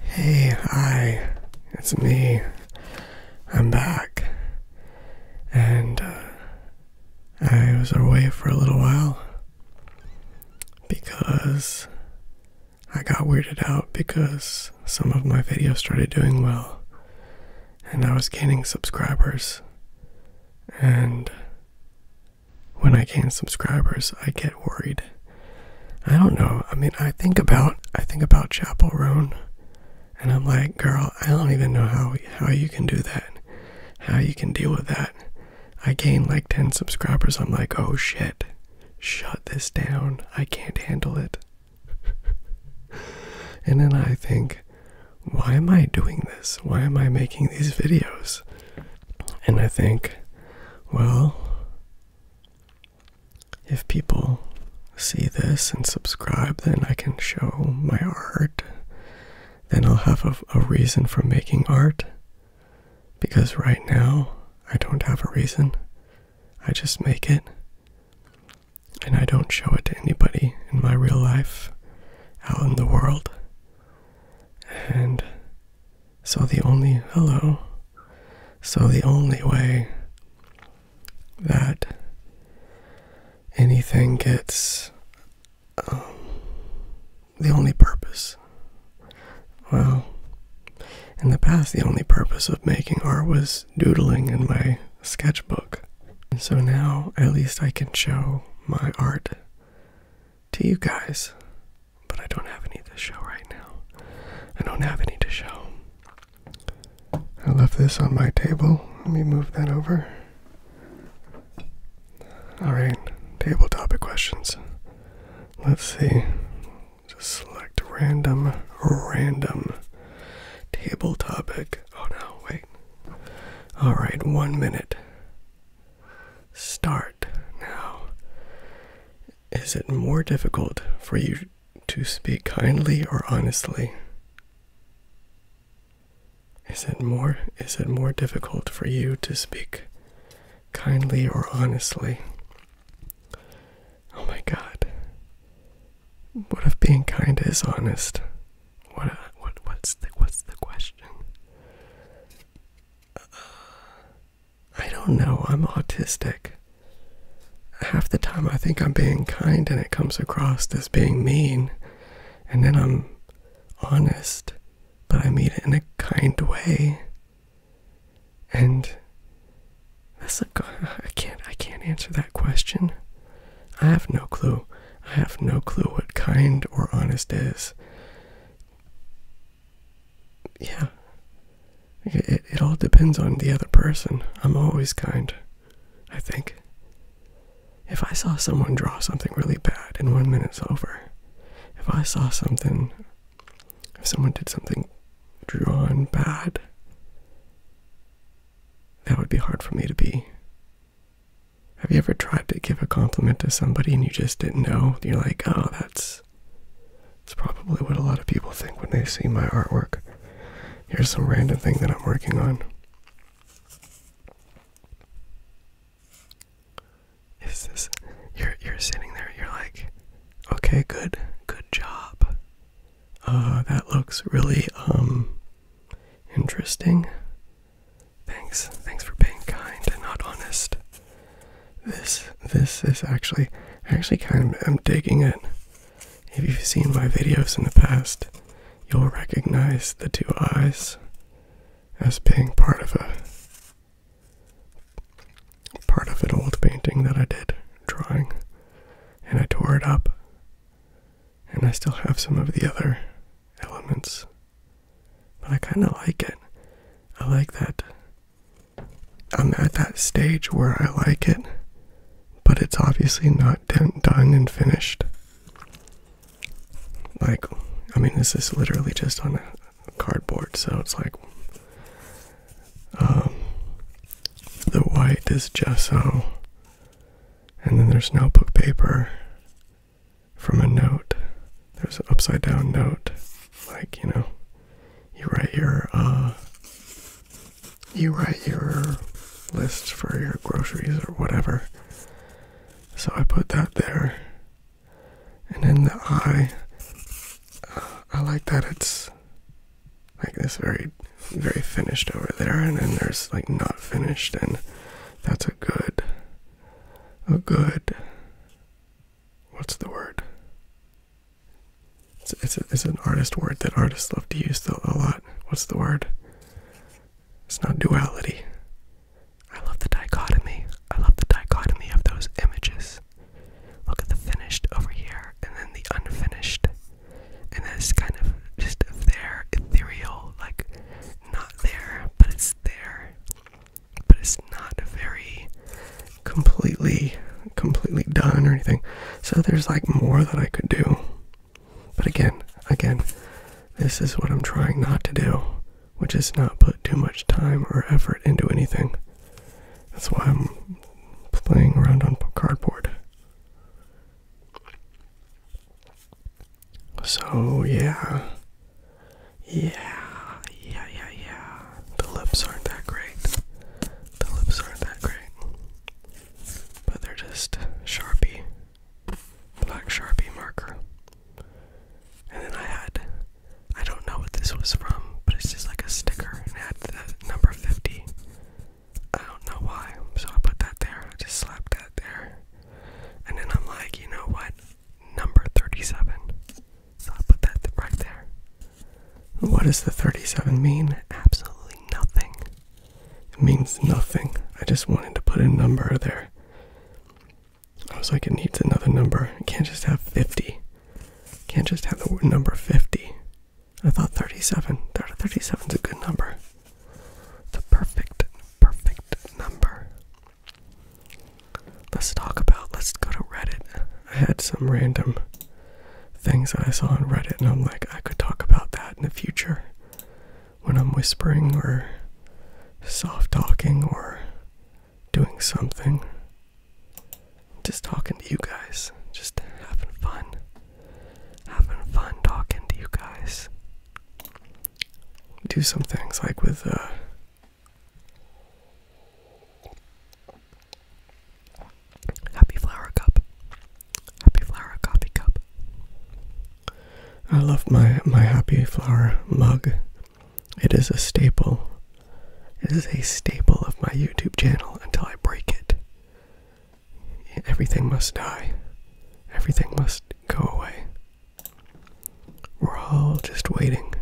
Hey, hi, it's me. I'm back. And uh, I was away for a little while because I got weirded out because some of my videos started doing well and I was gaining subscribers. And when I gain subscribers, I get worried. I don't know. I mean, I think about I think about Chapel Roan, and I'm like, girl, I don't even know how how you can do that, how you can deal with that. I gain like ten subscribers. I'm like, oh shit, shut this down. I can't handle it. and then I think, why am I doing this? Why am I making these videos? And I think, well, if people see this and subscribe, then I can show my art. Then I'll have a, reason for making art. Because right now, I don't have a reason. I just make it. And I don't show it to anybody in my real life, out in the world. And so the only hello. So the only way that anything gets um, the only purpose. Well, in the past, the only purpose of making art was doodling in my sketchbook. so now, at least I can show my art to you guys but I don't have any to show right now. I don't have any to show. I left this on my table. Let me move that over. Alright, table topic questions. Let's see. Just select random, random table topic. Oh no, wait. Alright, one minute. Start now. Is it more difficult for you to speak kindly or honestly? Is it more is it more difficult for you to speak kindly or honestly? Oh my god. What if being kind is honest? What what what's the what's the question? I don't know, I'm autistic. Half the time I think I'm being kind and it comes across as being mean, and then I'm honest, but I mean it in a kind way. And that's like I can not I can't I can't answer that question. I have no clue. I have no clue what kind or honest is yeah, it, it all depends on the other person. I'm always kind, I think. If I saw someone draw something really bad and one minute's over, if I saw something, if someone did something drawn bad, that would be hard for me to be. Have you ever tried to give a compliment to somebody and you just didn't know? You're like, oh, that's it's probably what a lot of people think when they see my artwork. Here's some random thing that I'm working on. Is this you're you're sitting there, you're like, okay, good, good job. Uh that looks really um interesting. Thanks. Thanks for being kind and not honest. This this is actually actually kind of I'm digging it. If you've seen my videos in the past, you'll recognize the two eyes as being part of a part of an old painting that I did drawing and I tore it up and I still have some of the other elements. But I kinda like it. I like that I'm at that stage where I like it, but it's obviously not done and finished. Like, I mean, this is literally just on a cardboard, so it's like um, the white is gesso, and then there's notebook paper from a note. There's an upside down note, like, you know, you write your uh you write your list for your groceries or whatever. So I put that there. And then the eye uh, I like that it's like this very very finished over there and then there's like not finished and that's a good a good what's the word? It's, an artist word that artists love to use a lot. What's the word? It's not duality. I love the dichotomy. I love the dichotomy of those images. Look at the finished over here, and then the unfinished, and that's kind of just there, ethereal, like not there, but it's there, but it's not very completely completely done or anything so there's like more that i could do but again again this is what i'm trying not to do which is not put too much time or effort into anything that's why i'm playing around on cardboard so yeah yeah yeah yeah yeah the lips aren't that great. The lips aren't that great. But they're just Sharpie, black Sharpie marker. And then I had, I don't know what this was from, but it's just like a sticker and it had the number 50. I don't know why, so I put that there. I just slapped that there. And then I'm like, you know what? Number 37. So I put that right there. What does the 37 mean? Absolutely nothing. It means nothing. I just wanted to put a number there. I was like, it needs another number. It can't just have 50. can't just have the number 50. I thought 37. 37 is a good number. The perfect, perfect number. Let's talk about, let's go to Reddit. I had some random things that I saw on Reddit, and I'm like, I could talk about that in the future when I'm whispering or soft talking or doing something. Just talking to you guys, just having fun, having fun talking to you guys. Do some things like with, uh, Happy Flower Cup. Happy Flower Coffee Cup. I love my, my Happy Flower mug. It is a staple. It is a staple of my YouTube channel until I break it. Everything must die. Everything must go away. We're all just waiting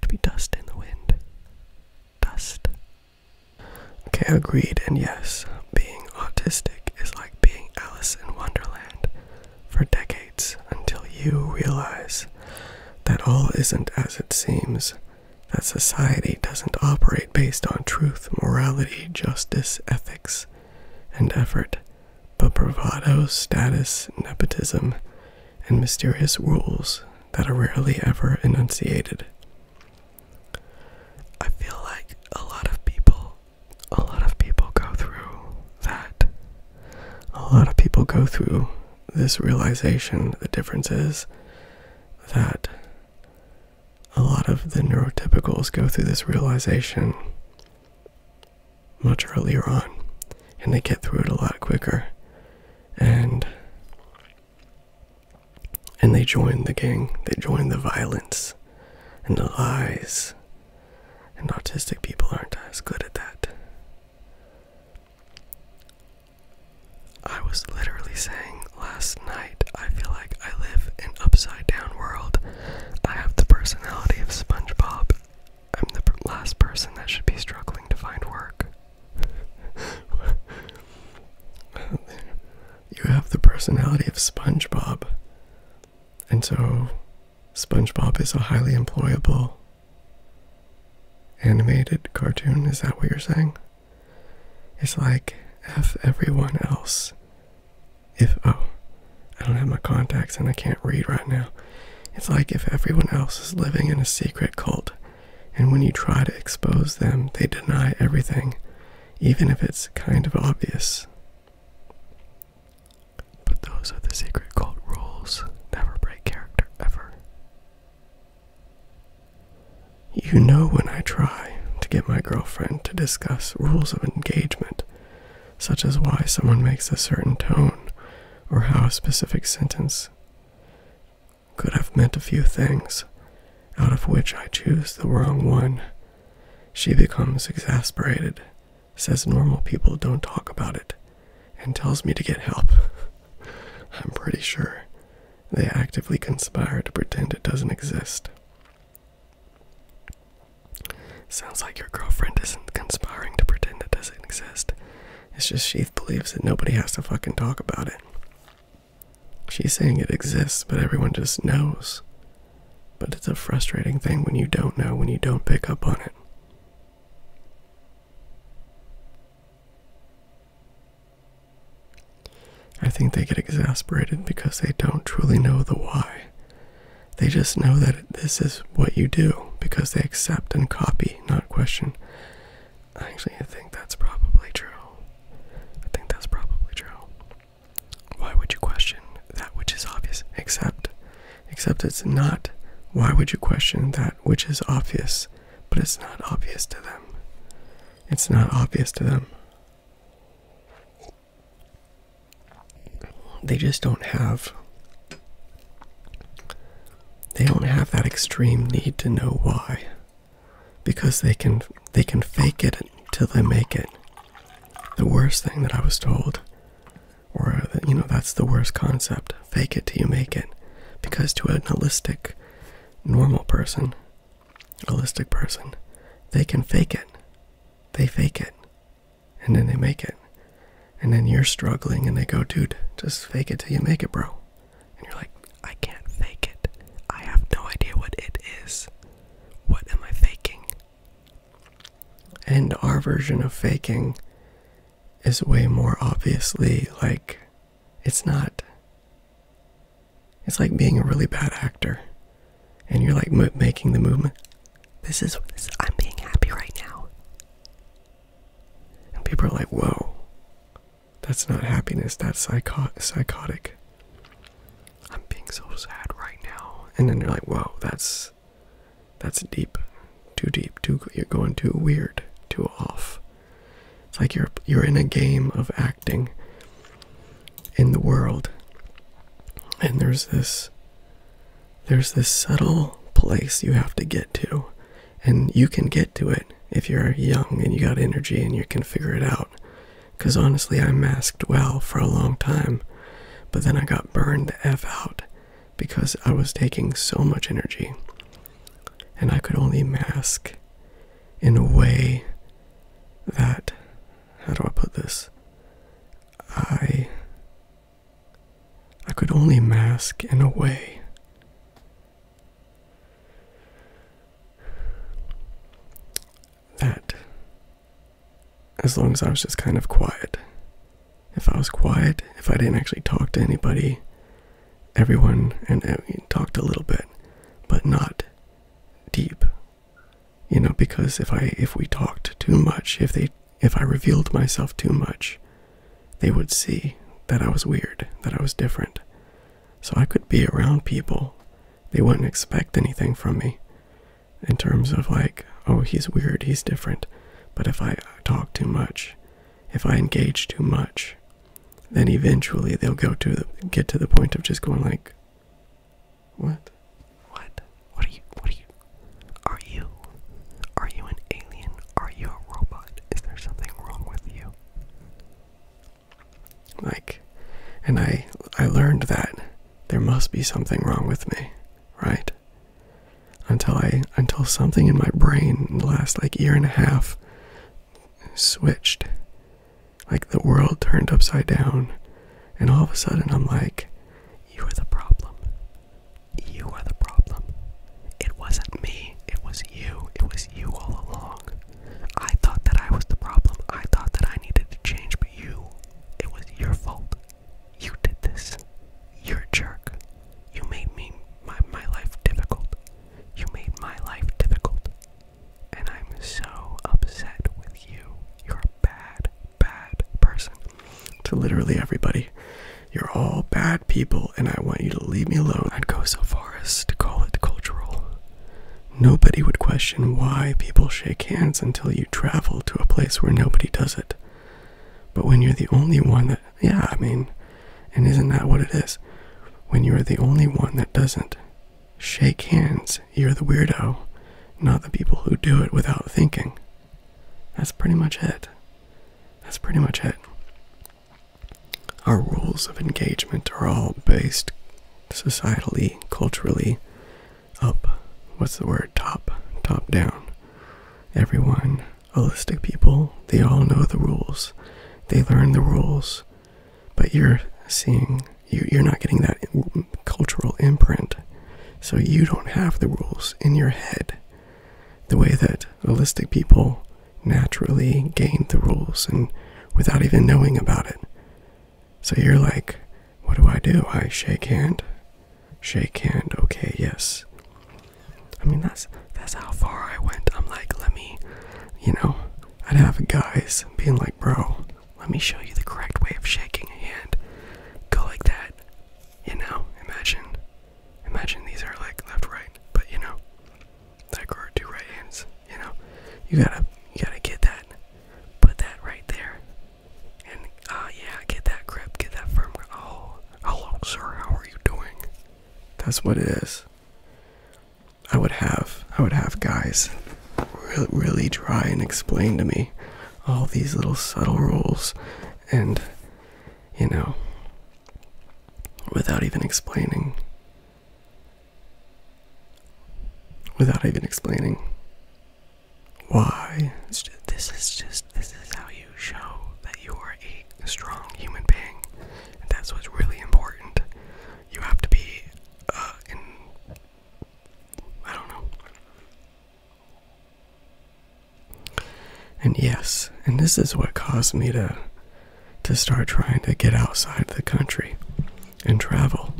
to be dust in the wind dust. Okay, agreed, and yes, being autistic is like being Alice in Wonderland for decades until you realize that all isn't as it seems, that society doesn't operate based on truth, morality, justice, ethics, and effort, but bravado, status, nepotism, and mysterious rules that are rarely ever enunciated. I feel like a lot of people, a lot of people go through that. A lot of people go through this realization. The difference is that a lot of the neurotypicals go through this realization much earlier on, and they get through it a lot quicker. And and they join the gang, they join the violence and the lies. And autistic people aren't as good at that. I was literally saying last night, I feel like I live in upside down world. I have the personality of SpongeBob. I'm the last person that should be struggling to find work. you have the personality of SpongeBob. And so, SpongeBob is a highly employable animated cartoon. Is that what you're saying? It's like if everyone else. If, oh, I don't have my contacts and I can't read right now. It's like if everyone else is living in a secret cult and when you try to expose them, they deny everything, even if it's kind of obvious. But those are the secret cult rules never break character ever. You know when I try to get my girlfriend to discuss rules of engagement, such as why someone makes a certain tone or how a specific sentence could have meant a few things, out of which I choose the wrong one. She becomes exasperated, says normal people don't talk about it, and tells me to get help. I'm pretty sure they actively conspire to pretend it doesn't exist. Sounds like your girlfriend isn't conspiring to pretend it doesn't exist. It's just she believes that nobody has to fucking talk about it. She's saying it exists, but everyone just knows. But it's a frustrating thing when you don't know, when you don't pick up on it. I think they get exasperated because they don't truly know the why. They just know that this is what you do because they accept and copy, not question. Actually, I think that's probably true. I think that's probably true. Why would you question that which is obvious? Except, except it's not. Why would you question that which is obvious, but it's not obvious to them? It's not obvious to them. They just don't have they don't have that extreme need to know why because they can they can fake it till they make it the worst thing that i was told or that you know that's the worst concept fake it till you make it because to a holistic normal person holistic person they can fake it they fake it and then they make it and then you're struggling and they go dude just fake it till you make it bro and you're like, I can't fake it. I have no idea what it is. What am I faking? And our version of faking is way more obviously like it's not. It's like being a really bad actor, and you're like making the movement. This is I'm being happy right now, and people are like, "Whoa, that's not happiness, that's psychotic. I'm being so sad right now. And then you're like, whoa, that's that's deep. Too deep. Too you're going too weird, too off. It's like you're you're in a game of acting in the world. And there's this there's this subtle place you have to get to and you can get to it if you're young and you got energy and you can figure it out because honestly i masked well for a long time but then i got burned the f out because i was taking so much energy and i could only mask in a way that how do i put this i i could only mask in a way that, as long as I was just kind of quiet, if I was quiet, if I didn't actually talk to anybody, everyone and uh, talked a little bit, but not deep. You know, because if I if we talked too much, if they if I revealed myself too much, they would see that I was weird, that I was different. So I could be around people. They wouldn't expect anything from me in terms of, like, oh, he's weird, he's different. But if I talk too much, if I engage too much, then eventually they'll go to the, get to the point of just going like, "What? What? What are you? What are you? Are you? Are you an alien? Are you a robot? Is there something wrong with you? Like, and I I learned that there must be something wrong with me, right? Until I until something in my brain in the last like year and a half switched. Like the world turned upside down, and all of a sudden I'm like, you are the problem. You are the problem. It wasn't me, it was you, it was you all along. I thought that I was the problem, I thought that I needed to change, but you, it was your fault. You did this. You're a jerk. You made me, my, my life difficult. You made my life difficult. And I'm so upset with you. You're a bad, bad person. To literally everybody. You're all bad people, and I want you to leave me alone. I'd go so far as to call it cultural. Nobody would question why people shake hands until you travel to a place where nobody does it. But when you're the only one that, yeah, I mean, and isn't that what it is? When you're the only one that doesn't shake hands, you're the weirdo, not the people who do it without thinking. That's pretty much it. That's pretty much it. Our rules of engagement are all based societally, culturally, up. What's the word? Top. Top down. Everyone, holistic people, they all know the rules. They learn the rules. But you're seeing, you, are not getting that cultural imprint. So you don't have the rules in your head. The way that holistic people naturally gained the rules and without even knowing about it. So you're like, what do I do? I shake hand. Shake hand. Okay, yes. I mean that's that's how far I went. I'm like, let me, you know, I'd have guys being like, bro, let me show you the correct way of shaking a hand. Go like that. You know, imagine Imagine these are like left right, but you know, like or two right hands. You know, you gotta you gotta get that, put that right there, and ah yeah, get that grip, get that firm. Grip. Oh, hello sir, how are you doing? That's what it is. I would have I would have guys really, really try and explain to me all these little subtle rules and you know without even explaining. Without even explaining why. this is just, this is how you show that you are a strong human being. And that's what's really important. You have to be, uh, I don't know. And yes, and this is what caused me to to start trying to get outside the country and travel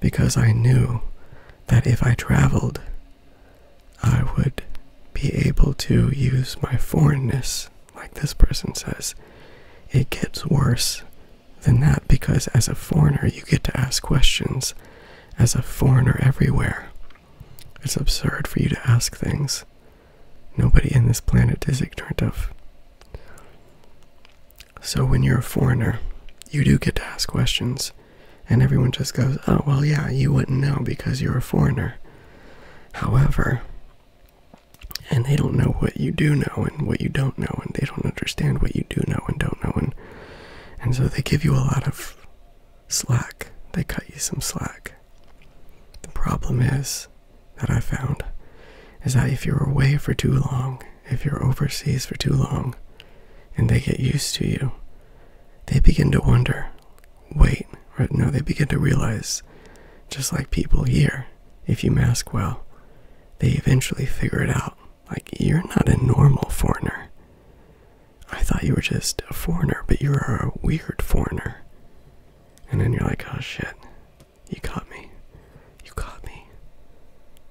because I knew that if I traveled, I would be able to use my foreignness, like this person says. It gets worse than that because as a foreigner, you get to ask questions as a foreigner everywhere. It's absurd for you to ask things Nobody in this planet is ignorant of. So when you're a foreigner, you do get to ask questions, and everyone just goes, oh, well, yeah, you wouldn't know because you're a foreigner. However, and they don't know what you do know and what you don't know, and they don't understand what you do know and don't know, and, and so they give you a lot of slack. They cut you some slack. The problem is, that I found is that if you're away for too long, if you're overseas for too long, and they get used to you, they begin to wonder, wait, or no, they begin to realize, just like people here, if you mask well, they eventually figure it out. Like, you're not a normal foreigner. I thought you were just a foreigner, but you're a weird foreigner. And then you're like, oh shit, you caught me. You caught me.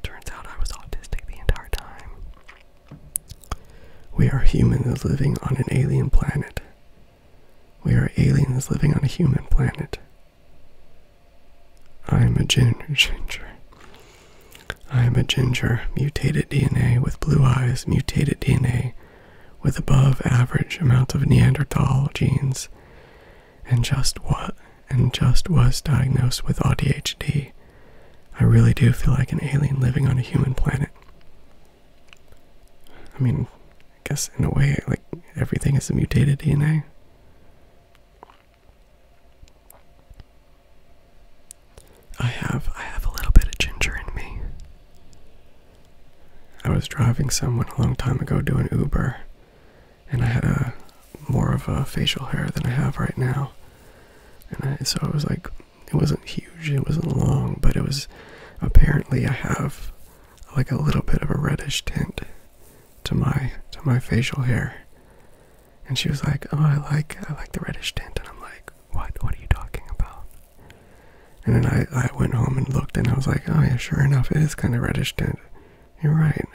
Turns out I was autistic the entire time. We are humans living on an alien planet. We are aliens living on a human planet. I am a ginger. ginger. I am a ginger, mutated DNA with blue eyes, mutated DNA with above average amounts of Neanderthal genes and just what and just was diagnosed with ADHD. I really do feel like an alien living on a human planet. I mean, I guess in a way, like everything is a mutated DNA. I have I have a little bit of ginger in me. I was driving someone a long time ago doing Uber, and I had a more of a facial hair than I have right now, and so it was like it wasn't huge, it wasn't long, but it was apparently I have like a little bit of a reddish tint to my to my facial hair. And she was like, "Oh, I like I like the reddish tint," and I'm like, "What? What are you talking about?" And then I, I went home and looked and I was like, oh yeah, sure enough, it is kind of reddish tint. You're right.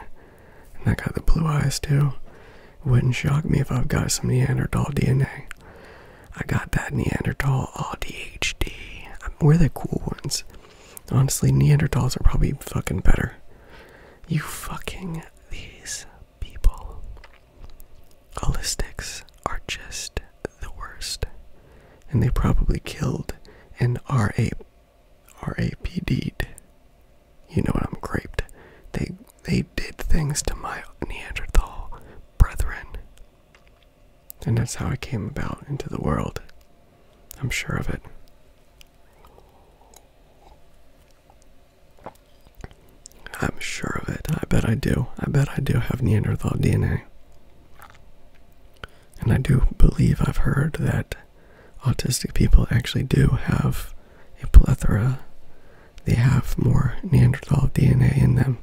And I got the blue eyes too. Wouldn't shock me if I've got some Neanderthal DNA. I got that Neanderthal all DHD. We're the cool ones. Honestly, Neanderthals are probably fucking better. You fucking these people. Holistics are just the worst. And they probably killed an RA RAPD'd. You know what I'm graped. They they did things to my Neanderthal brethren. And that's how I came about into the world. I'm sure of it. I'm sure of it. I bet I do. I bet I do have Neanderthal DNA and I do believe I've heard that autistic people actually do have a plethora. They have more Neanderthal DNA in them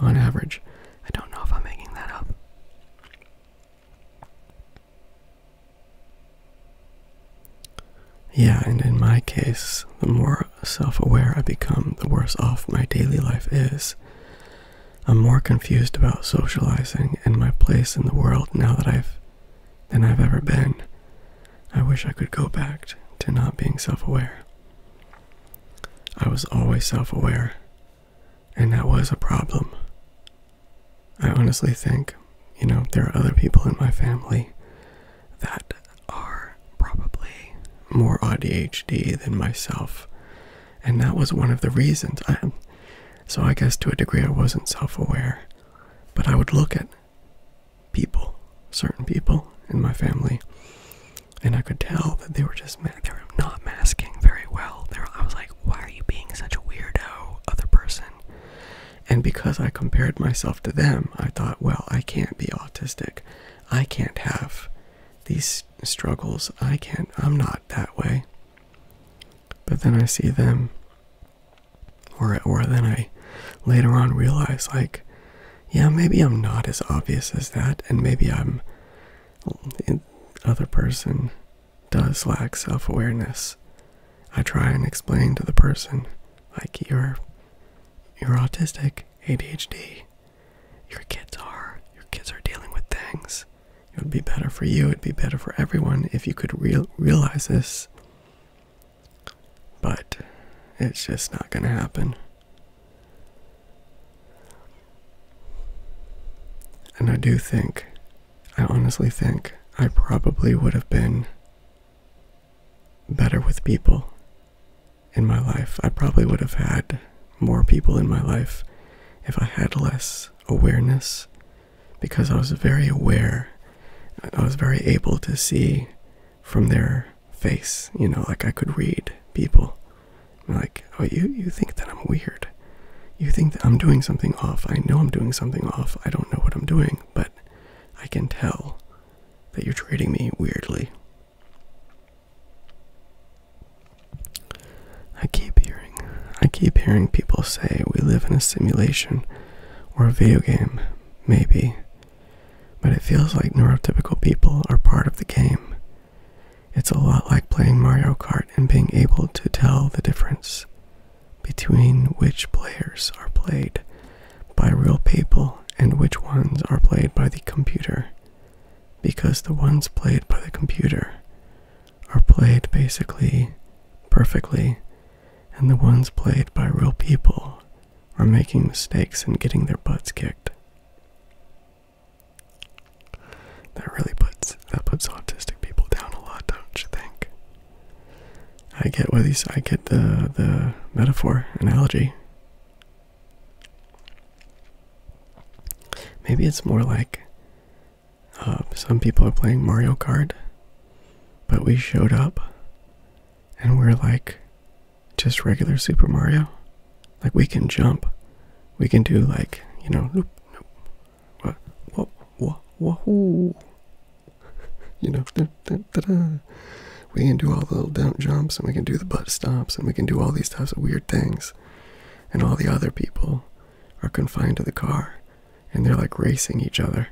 on average. I don't know if I'm making that up. Yeah, and in my case, the more self aware I become, the worse off my daily life is. I'm more confused about socializing and my place in the world now that I've than I've ever been. I wish I could go back to not being self-aware. I was always self-aware, and that was a problem. I honestly think, you know, there are other people in my family that are probably more ADHD than myself and that was one of the reasons I, so i guess to a degree i wasn't self-aware but i would look at people certain people in my family and i could tell that they were just they are not masking very well i was like why are you being such a weirdo other person and because i compared myself to them i thought well i can't be autistic i can't have these struggles. I can't, I'm not that way. But then I see them, or, or then I later on realize, like, yeah, maybe I'm not as obvious as that, and maybe I'm, the other person does lack self awareness. I try and explain to the person, like, you're, you're autistic, ADHD, your kids are. Your kids are dealing with things. It would be better for you, it'd be better for everyone if you could realize this. But it's just not going to happen. And I do think, I honestly think, I probably would have been better with people in my life. I probably would have had more people in my life, if I had less awareness, because I was very aware, I was very able to see from their face, you know, like I could read people. Like, oh, you, you think that I'm weird. You think that I'm doing something off. I know I'm doing something off. I don't know what I'm doing, but I can tell that you're treating me weirdly. I keep hearing, I keep hearing people say we live in a simulation or a video game, maybe, but it feels like neurotypical people are part of the game. It's a lot like playing Mario Kart and being able to tell the difference between which players are played by real people and which ones are played by the computer because the ones played by the computer are played basically perfectly, and the ones played by real people are making mistakes and getting their butts kicked. That really puts that puts autistic people down a lot, don't you think? I get what these I get the the metaphor analogy. Maybe it's more like uh, some people are playing Mario Kart, but we showed up and we're like just regular Super Mario. Like we can jump, we can do like, you know, nope, nope, what, what, what, wahoo. you know, da, da, da, da. we can do all the little down jumps and we can do the butt stops and we can do all these types of weird things and all the other people are confined to the car and they're like racing each other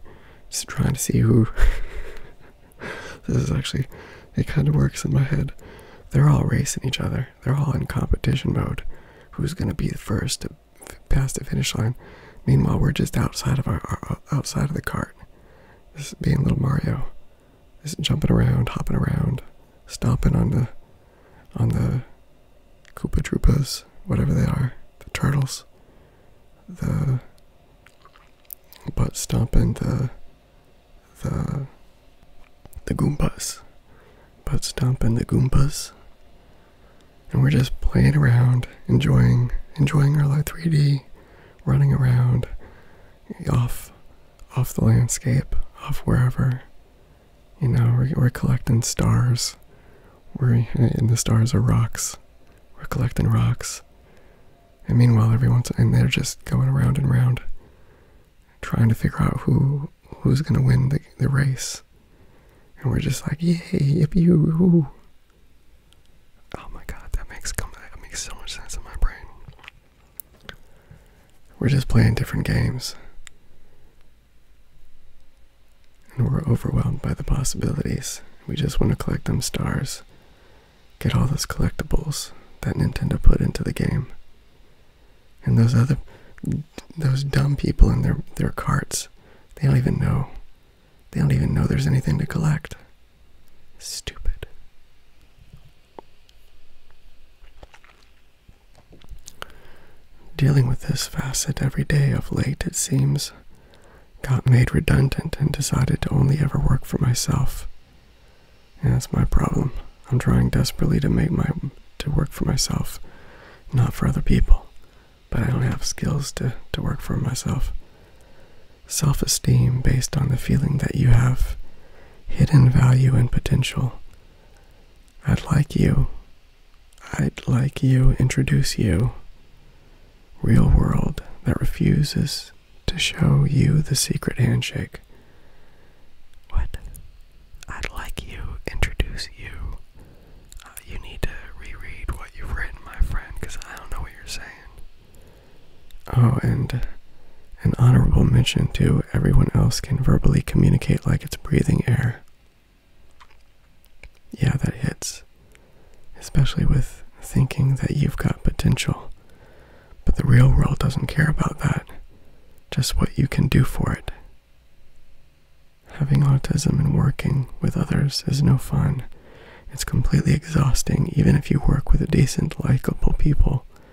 just trying to see who this is actually it kind of works in my head they're all racing each other they're all in competition mode who's going to be the first to pass the finish line meanwhile we're just outside of our, outside of the cart this is being little mario just jumping around, hopping around, stomping on the on the Koopa whatever they are, the turtles, the but stomping the the the Goombas, but stomping the Goombas, and we're just playing around, enjoying enjoying our live 3D, running around, off off the landscape, off wherever. You know, we're, collecting stars. We're and the stars are rocks. We're collecting rocks. And meanwhile, everyone's and they're just going around and round, trying to figure out who who's gonna win the the race. And we're just like, yay, yippee you! Oh my god, that makes that makes so much sense in my brain. We're just playing different games. And we're overwhelmed by the possibilities. We just want to collect them stars, get all those collectibles that Nintendo put into the game. And those other, those dumb people in their, their carts, they don't even know. They don't even know there's anything to collect. Stupid. Dealing with this facet every day of late, it seems, got made redundant and decided to only ever work for myself. And that's my problem. I'm trying desperately to make my to work for myself, not for other people. But I don't have skills to, to work for myself. Self esteem based on the feeling that you have hidden value and potential I'd like you. I'd like you introduce you. Real world that refuses to show you the secret handshake. What? I'd like you introduce you. Uh, you need to reread what you've written, my friend, because I don't know what you're saying. Oh, and an honorable mention to everyone else can verbally communicate like it's breathing air. Yeah, that hits. Especially with thinking that you've got potential. But the real world doesn't care about that, just what you can do for it. Having autism and working with others is no fun. It's completely exhausting, even if you work with decent, likable people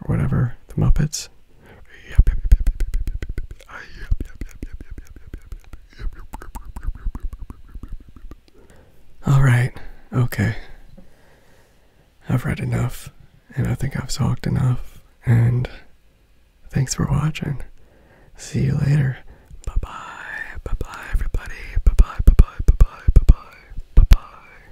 or whatever, the Muppets. All right, okay. I've read enough, and I think I've talked enough, and thanks for watching. See you later. Bye bye. Bye bye, everybody. Bye bye, bye bye, bye bye, bye bye, bye bye.